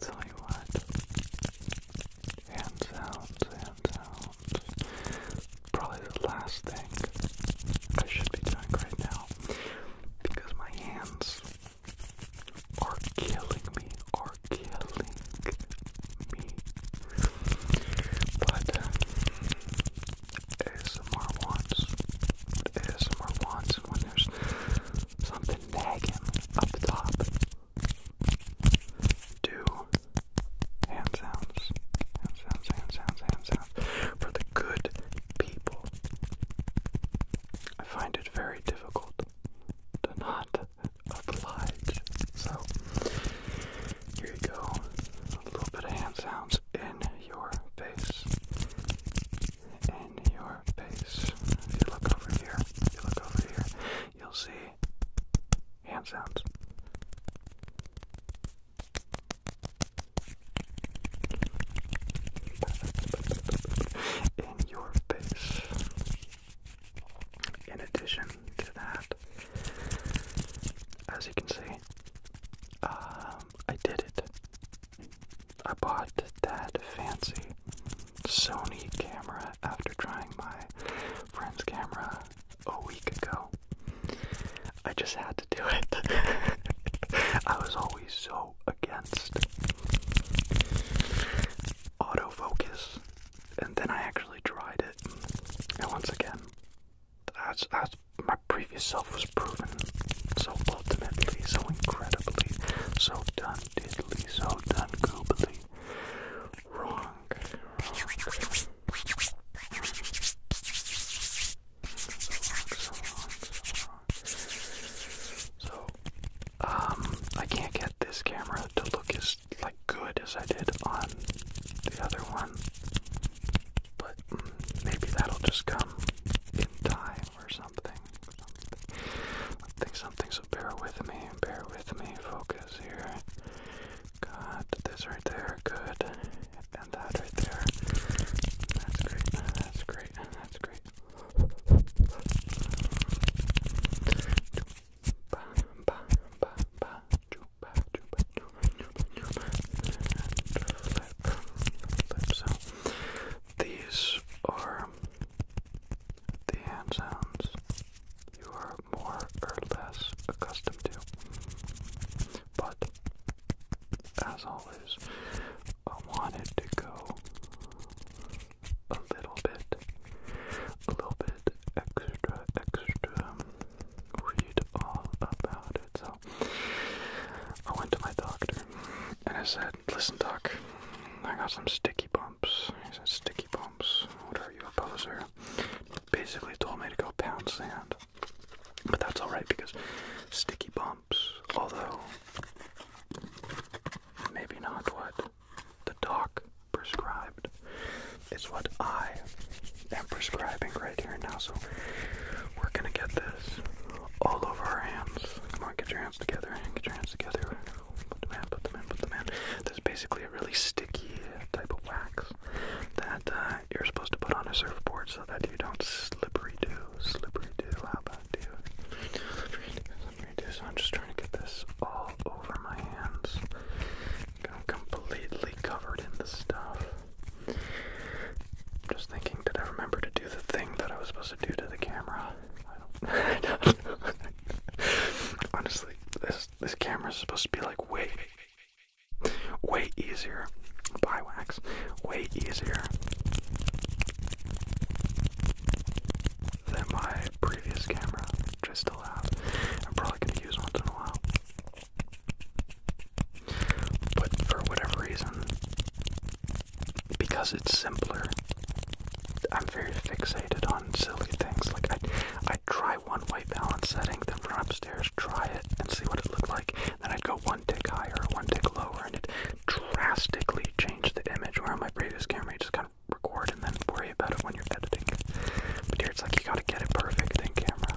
tell you what, hand sounds, probably the last thing I should be doing right now, because my hands are killing me, are killing me, but uh, ASMR wants, ASMR wants, when there's something tag him up top. Do hand sounds, hand sounds, hand sounds, hand sounds for the good people. I find it very difficult to not oblige. So, here you go. A little bit of hand sounds in your face in your face. If you look over here, you look over here, you'll see hand sounds. In your face. In addition to that, as you can see, um, I did it I bought that fancy Sony camera after trying my friend's camera a week ago. I just had to do it. I was always so against autofocus, and then I actually tried it, and once again, that's that's my previous self was proven so ultimately, so incredibly, so done diddly, so done goobly. Wrong. So, um, I can't get this camera to look as like good as I did on the other one, but mm, maybe that'll just come in time or something. I think something. So bear with me, bear with me. Focus here. Got this right there. Good. And that right there. That's great. That's great. That's great. So these are the hand sounds you are more or less accustomed to. But, as always, I wanted to go a little bit, a little bit extra, extra, read all about it. So, I went to my doctor and I said, Listen, Doc, I got some sticky bumps. He said, Sticky bumps? What are you, a poser? Basically told me to go pound sand. But that's alright because sticky bumps, although maybe not what the doc prescribed, is what I am prescribing right here and now. So we're gonna get this all over our hands. Come on, get your hands together. hands together. Put them in, put them in, put them in. There's basically a really sticky type of wax that uh, you're supposed to put on a surfboard so that you don't slippery do. Slippery do. How about you? do. So I'm just trying to get this all over my hands. I'm completely covered in the stuff. I'm just thinking, did I remember to do the thing that I was supposed to do to the camera? I don't, Honestly, this this camera is supposed to be like way, way easier. Buy wax, way easier than my previous camera, which I still have. I'm probably gonna use once in a while. But for whatever reason, because it's simpler. I'm very fixated on silly things. Like I, I try one white balance setting, then run upstairs, try it, and see what it looked like. Then I'd go one tick higher, one tick lower, and it drastically changed the image. Where on my previous camera, you just kind of record and then worry about it when you're editing. But here, it's like you gotta get it perfect in camera.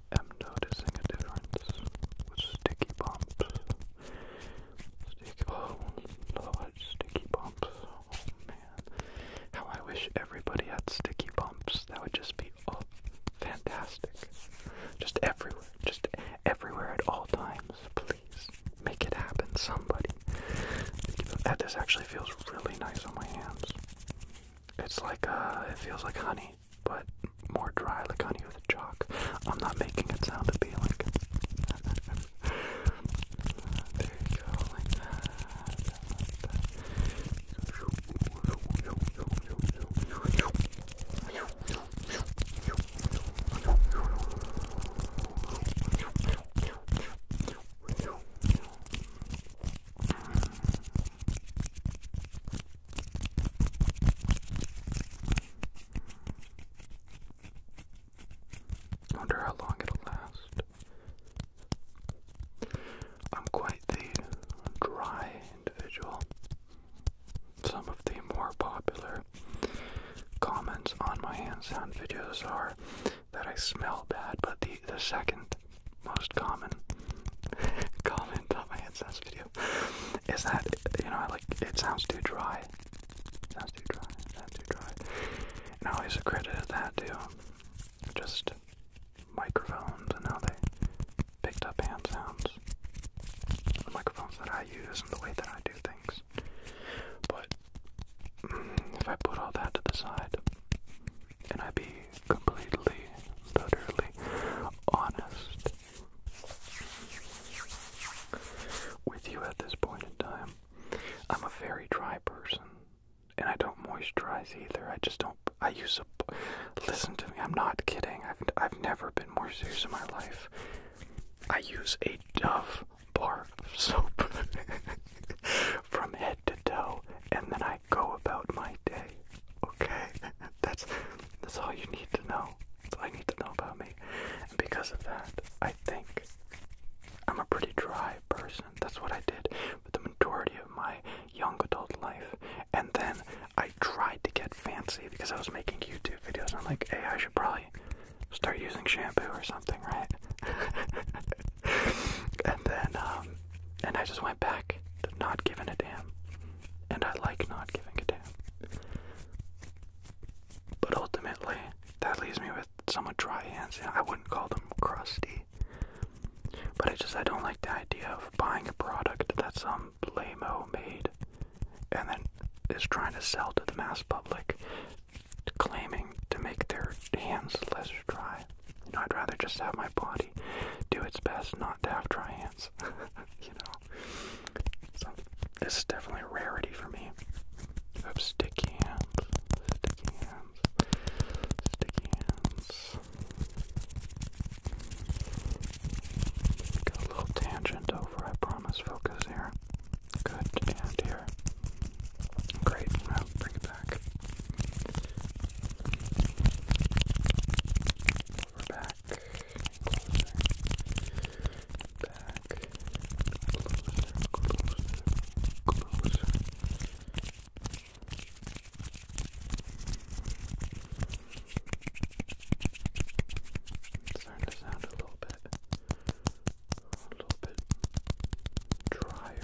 am noticing a difference sticky bumps. Sticky, oh, Lord, sticky bumps. Oh, man. How I wish everybody had sticky bumps. That would just be oh, fantastic. Just everywhere. Just everywhere at all times. Please make it happen, somebody. That this actually feels really nice on my hands. It's like uh, it feels like honey but more dry, like honey with chalk. I'm not making it sound appealing. there you go, I wonder how long it'll last. I'm quite the dry individual. Some of the more popular comments on my hand sound videos are that I smell bad, but the the second most common comment on my AdSense video is that you know like it sounds too dry. sounds too dry. sounds too dry. And I always accredited that to just microphones and now they picked up hand sounds. microphones that I use and the way that I do things. But mm, if I put all that to the side, and I be completely, utterly honest with you at this point in time. I'm a very dry person, and I don't moisturize either. I just don't. I use a. Listen to me. I'm not kidding. I've I've never been more serious in my life. I use a Dove bar of soap from head to toe, and then I go about my day. Okay? that's that's all you need to know. all I need to know about me. And because of that, I think I'm a pretty dry person. That's what I did for the majority of my young adult life. And then I tried to get fancy because I was making YouTube videos. I'm like, hey, I should probably start using shampoo or something, right? and then um, and I just went back to not giving a damn. And I like not giving a damn. But ultimately, that leaves me with somewhat dry hands. I wouldn't call them crusty. But I just I don't like the idea of buying a product that some lameo made and then is trying to sell to the mass public, claiming to make their hands less dry. You know, I'd rather just have my body do its best not to have dry hands. you know? So, this is definitely a rarity for me. Oops, sticky hands. Sticky hands. Sticky hands. Got a little tangent over, I promise. Focus here. Good, here. Great. Now bring it back. Over back. Closer. Back. Closer. Closer. Closer. It's starting to sound a little bit a little bit drier.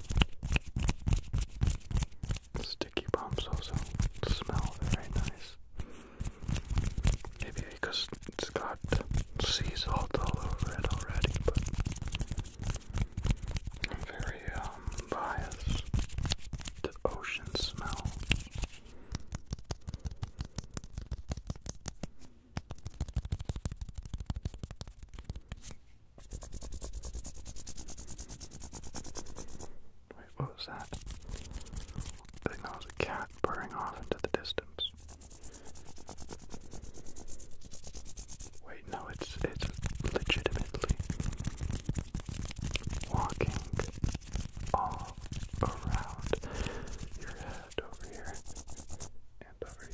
Sticky bombs also smell very nice. Maybe because it's got sea salt all over it already, I'm very um, biased to ocean smell. Wait, what was that? I think that was a cat purring off into the distance. Wait, no, it's it's legitimately walking all around your head over here and over here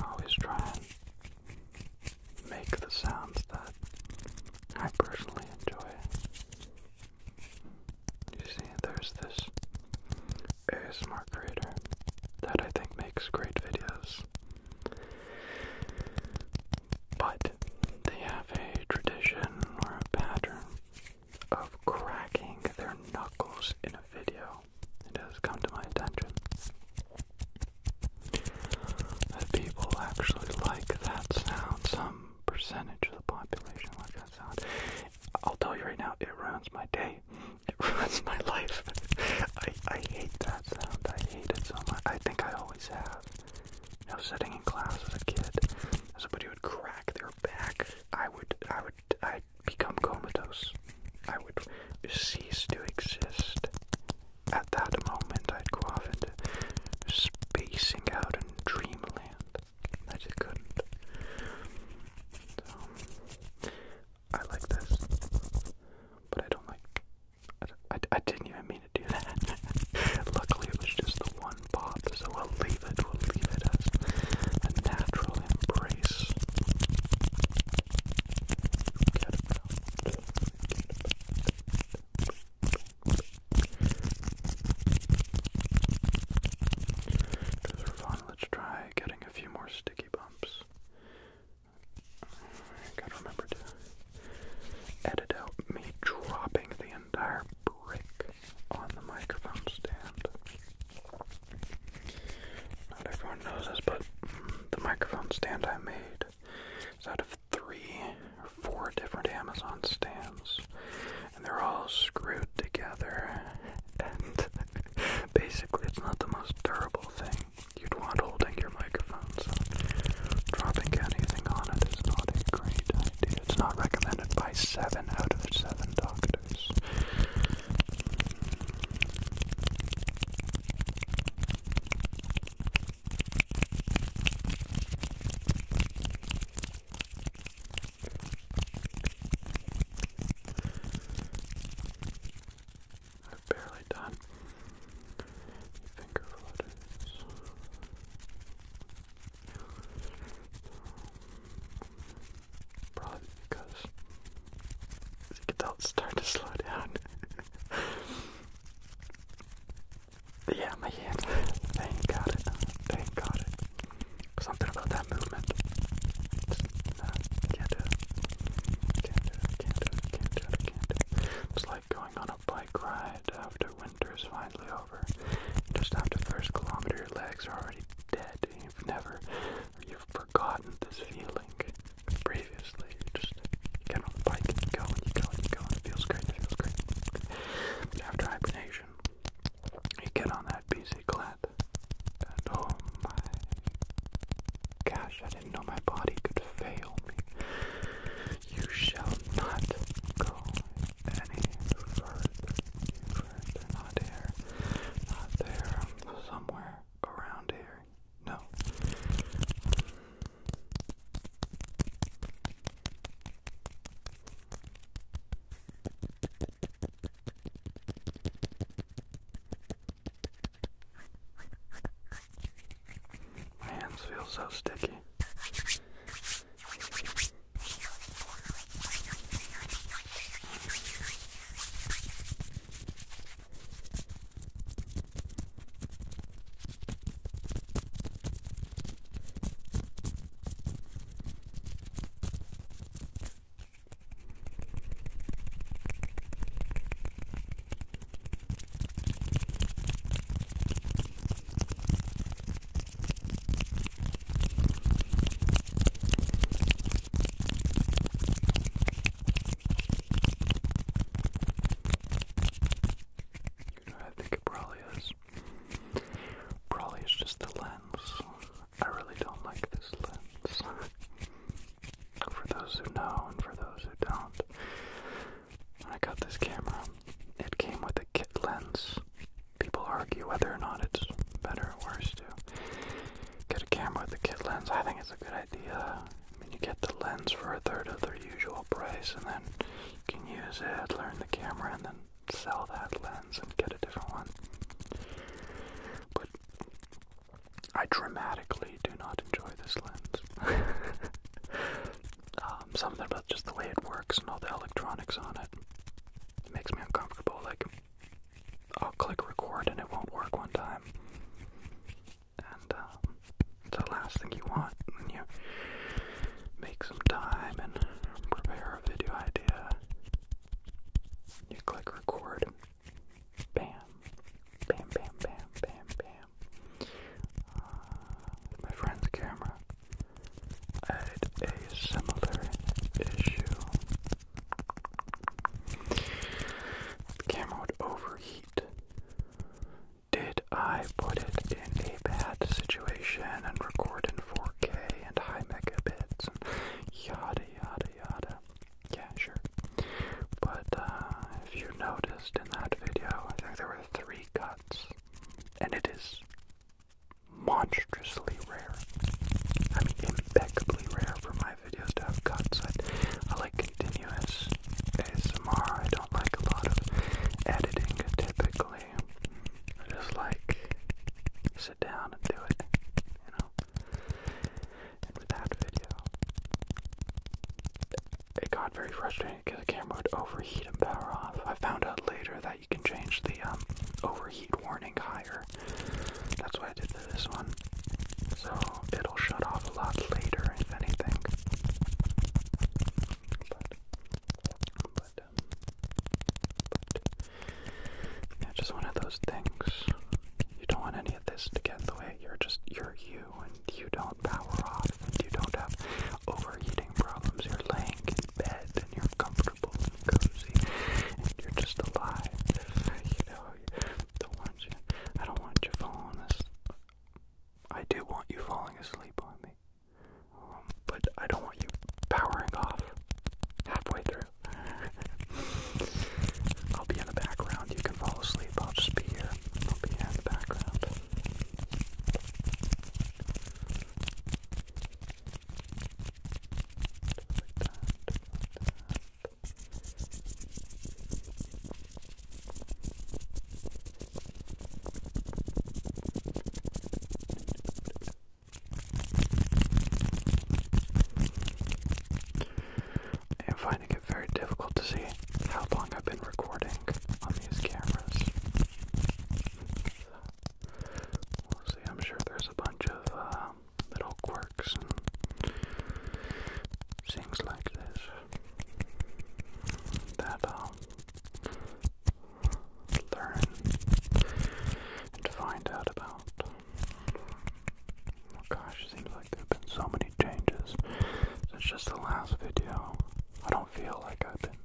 I always try and make the sounds that I personally enjoy. You see, there's this ASMR creator that I think makes great videos. But they have a tradition or a pattern of cracking their knuckles in a video. It has come to my attention that people actually like that sound. Some percentage of the population like that sound. I'll tell you right now, it ruins my day. It ruins my life. I, I hate that sound. I hate it so much. I think I always have. You sitting in class as a kid, somebody would crack their back. I would, I would, i become comatose. I would cease to exist. At that moment, I'd go off into spacing out in dreamland. I just couldn't. I like this, but I don't like I, I, didn't even mean to do that. Luckily, it was just the one pop, so we'll leave it. We'll leave it as a natural embrace. let's try getting a few more sticky bumps. I gotta remember to edit out me dropping the entire brick on the microphone stand. Not everyone knows this, but the microphone stand I made is out of three or four different Amazon stands, and they're all screwed together. And basically, it's not the most durable thing you'd want holding your microphone, dropping anything on it is not a great idea. It's not recommended by seven out of seven doctors i are barely done. Finger flutters. Probably because as you can to slow down. yeah, my hand. Thank God it. Thank God it. Something about that movement. Just, uh, can't do it. Can't do it. Can't do it. can Can't do it. It's like like going on a bike ride after winter is finally over. Just after the first kilometer, your legs are already dead. You've never, you've forgotten this feeling previously. You just get on the bike and you go and you go and you go and it feels great, it feels great. after hibernation, you get on that BC Glad, and oh my gosh, that did know my body could fail me. You shall not go any further. Further, not here, not there, somewhere around here. No. My hands feel so sticky. I think it probably is. Probably is just the lens. I really don't like this lens. for those who know and for those who don't. I got this camera, it came with a kit lens. People argue whether or not it's better or worse to get a camera with a kit lens. I think it's a good idea. I mean, you get the lens for a third of their usual price, and then you can use it, learn the camera, and then sell that lens and get a different one. But I dramatically do not enjoy this lens. Um, something about just the way it works and all the electronics on it. makes me uncomfortable. Like, I'll click record and it won't work one time. And um, the last thing you want when you make some time and prepare a video idea. You click record Bam. Bam, bam, bam, bam, bam. Uh, my friend's camera had a similar issue. The camera would overheat. Did I put it in a bad situation and record in 4K and high megabits yada yada yada? Yeah, sure. But uh, if you noticed in that video, I think there were three cuts, and it is monstrously rare. I mean, impeccably rare for my videos to have cuts. I, like continuous ASMR. I don't like a lot of editing typically. I just like sit down and do it, you know. And with that video, it got very frustrating because the camera would overheat and power off. I found out later that you can change the um, overheat warning higher. That's what I did to this one. So it'll shut off a lot later, if anything. But, um, but, yeah, just one of those things. You don't want any of this to get in the way. You're just, you're you and you don't power off and you don't have overheating problems. You're laying in bed and you're comfortable and cozy and you're just alive. You know, don't want you, I don't want you falling asleep. I do want you falling asleep on me. Um, but I don't want you powering off halfway through. I'll be in the background. You can fall asleep. I'll just be here. I'll be in the background. And finding it very difficult to see how long I've been recording on these cameras. see, I'm sure there's a bunch of um, little quirks things like this that I'll um, learn and find out about. Oh gosh, it seems like there have been so many changes since just the last video. I don't feel like I've been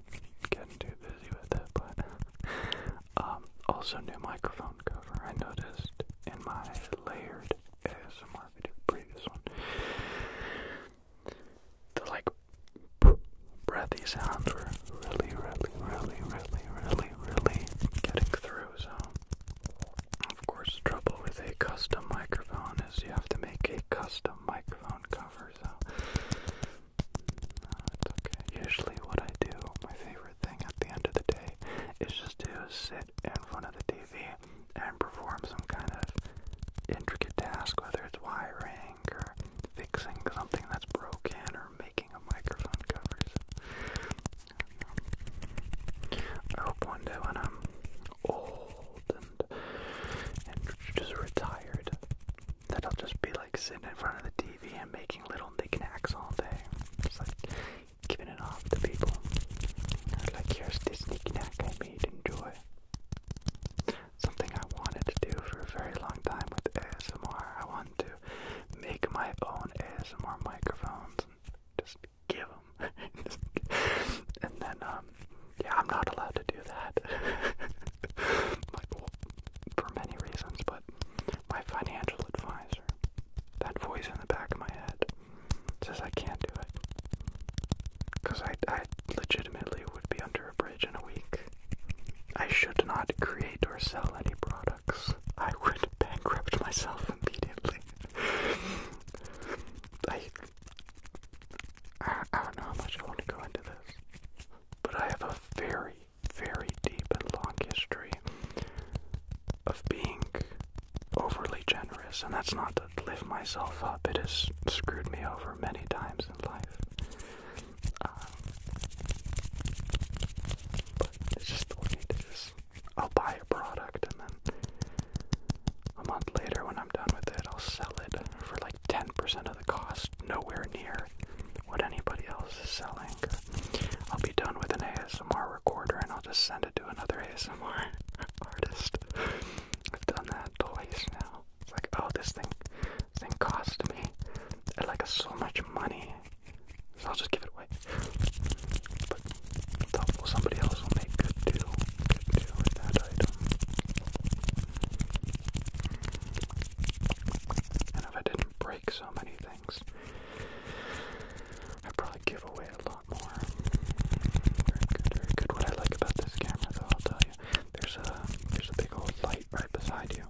getting too busy with it, but um, also new microphone cover. I noticed in my layered ASMR video, previous one, the like breathy sounds were really, really, really, really, really, really getting through. Of course, trouble with a custom microphone is you have to make a custom microphone cover, so uh, Usually, what I do, my favorite thing at the end of the day, is just to sit in front of the TV and perform some kind of intricate task, whether it's wiring or fixing something that's broken or making a microphone cover. I hope one day when I'm old and and just retired that I'll just be like sitting in front of the TV and making little knickknacks all day. It's like giving it off to people. Like here's this knickknack I made. Enjoy. Something I wanted to do for a very long time with ASMR. I wanted to make my own ASMR microphones and just give them. and then, um, yeah, I'm not allowed to do that. for many reasons, but my financial advisor, that voice in the back of my head, says I can't do it. Because I, I legitimately would be under a bridge in a week. I should not create or sell any products. I would bankrupt myself immediately. I, don't know how much I want to go into this, but I have a very, very deep and long history of being overly generous, and that's not to lift myself up. It has screwed me over many times in life. Um, but it's just the way it is. I'll buy a product and then a month later when I'm done with it, I'll sell it for like 10% of the cost, nowhere near what anybody else is selling. I'll be done with an ASMR recorder and I'll just send it to another ASMR artist. I've done that twice now. like, oh, this thing, this thing cost me like so much money, so I'll just give it away somebody else will make good deal, with that item. And if I didn't break so many things, I'd probably give away a lot more. Very good, very good. What I like about this camera though, I'll tell you, there's a there's a big old light right beside you.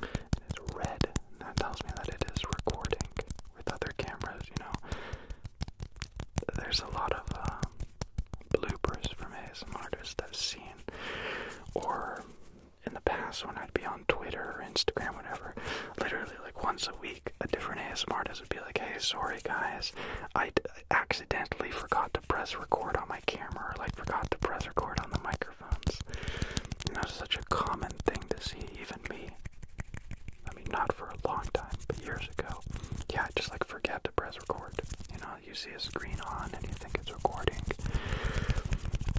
it's red. that tells me that it is recording with other cameras, you know there's a lot of uh, bloopers from ASMR artists I've seen, or in the past when I'd be on Twitter or Instagram, whatever, literally like once a week, a different ASMR artist would be like, "Hey, sorry guys, I accidentally forgot to press record on my camera, or like forgot to press record on the microphones." Not such a common thing to see, even me. I mean, not for a long time, but years ago. Yeah, just like forget to press record. You know, you see a screen on and you think it's recording.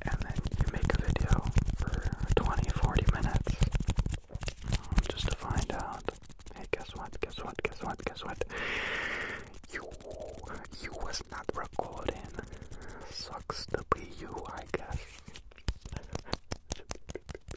And then you make a video for 20, 40 minutes um, just to find out. Hey, guess what? Guess what? Guess what? Guess what? You, you was not recording. Sucks to be you, I guess.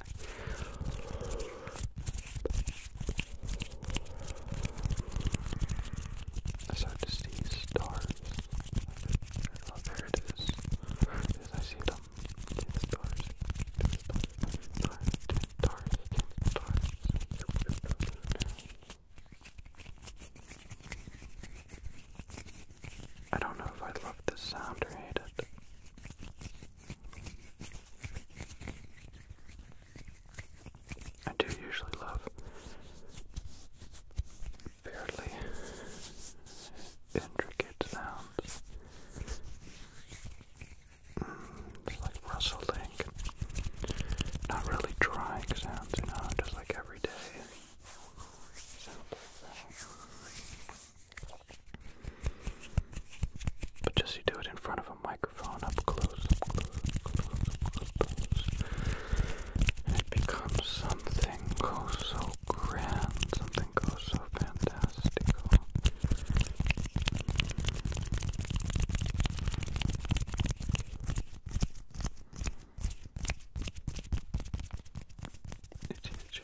I start to see stars. Oh, there it is. There it is. I see them. stars. stars. Stars. stars. stars. I don't know if I love this sound or hate it. I do usually love fairly intricate sounds. Mm, like rustling, not really trying sounds, you know, just like everyday sounds but just you do it in front of a microphone up close, And it becomes something oh so grand, something oh so fantastical. Itchy, itchy.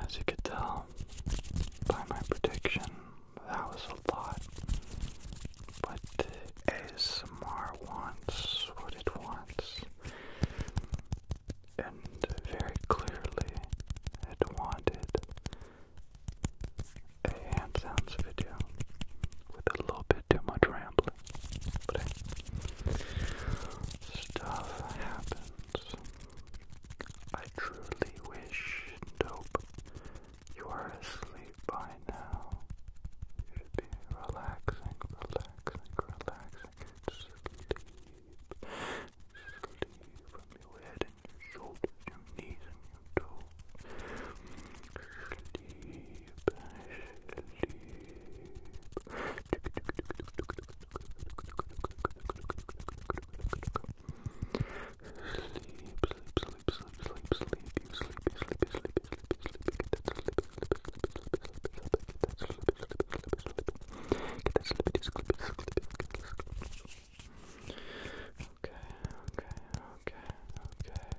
As you could tell by my prediction, that was a lot. But ASMR wants what it wants. And very clearly, it wanted a hand sounds video with a little bit too much rambling. But stuff happens. I truly wish and hope you are asleep by now. You should be relaxing, relaxing, relaxing. Sleep. Sleep from your head and your shoulders, your knees and your toes. Sleep, sleep sleep, sleep, sleep, you sleepy, sleepy, sleepy, sleepy, sleepy, get that sleepy, sleepy, get that sleepy, sleepy, Okay, okay, okay, okay.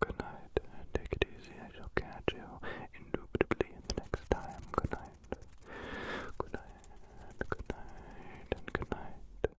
Good night. Take it easy. I shall catch you indubitably the next time. Good night. Good night. Good night. And good night.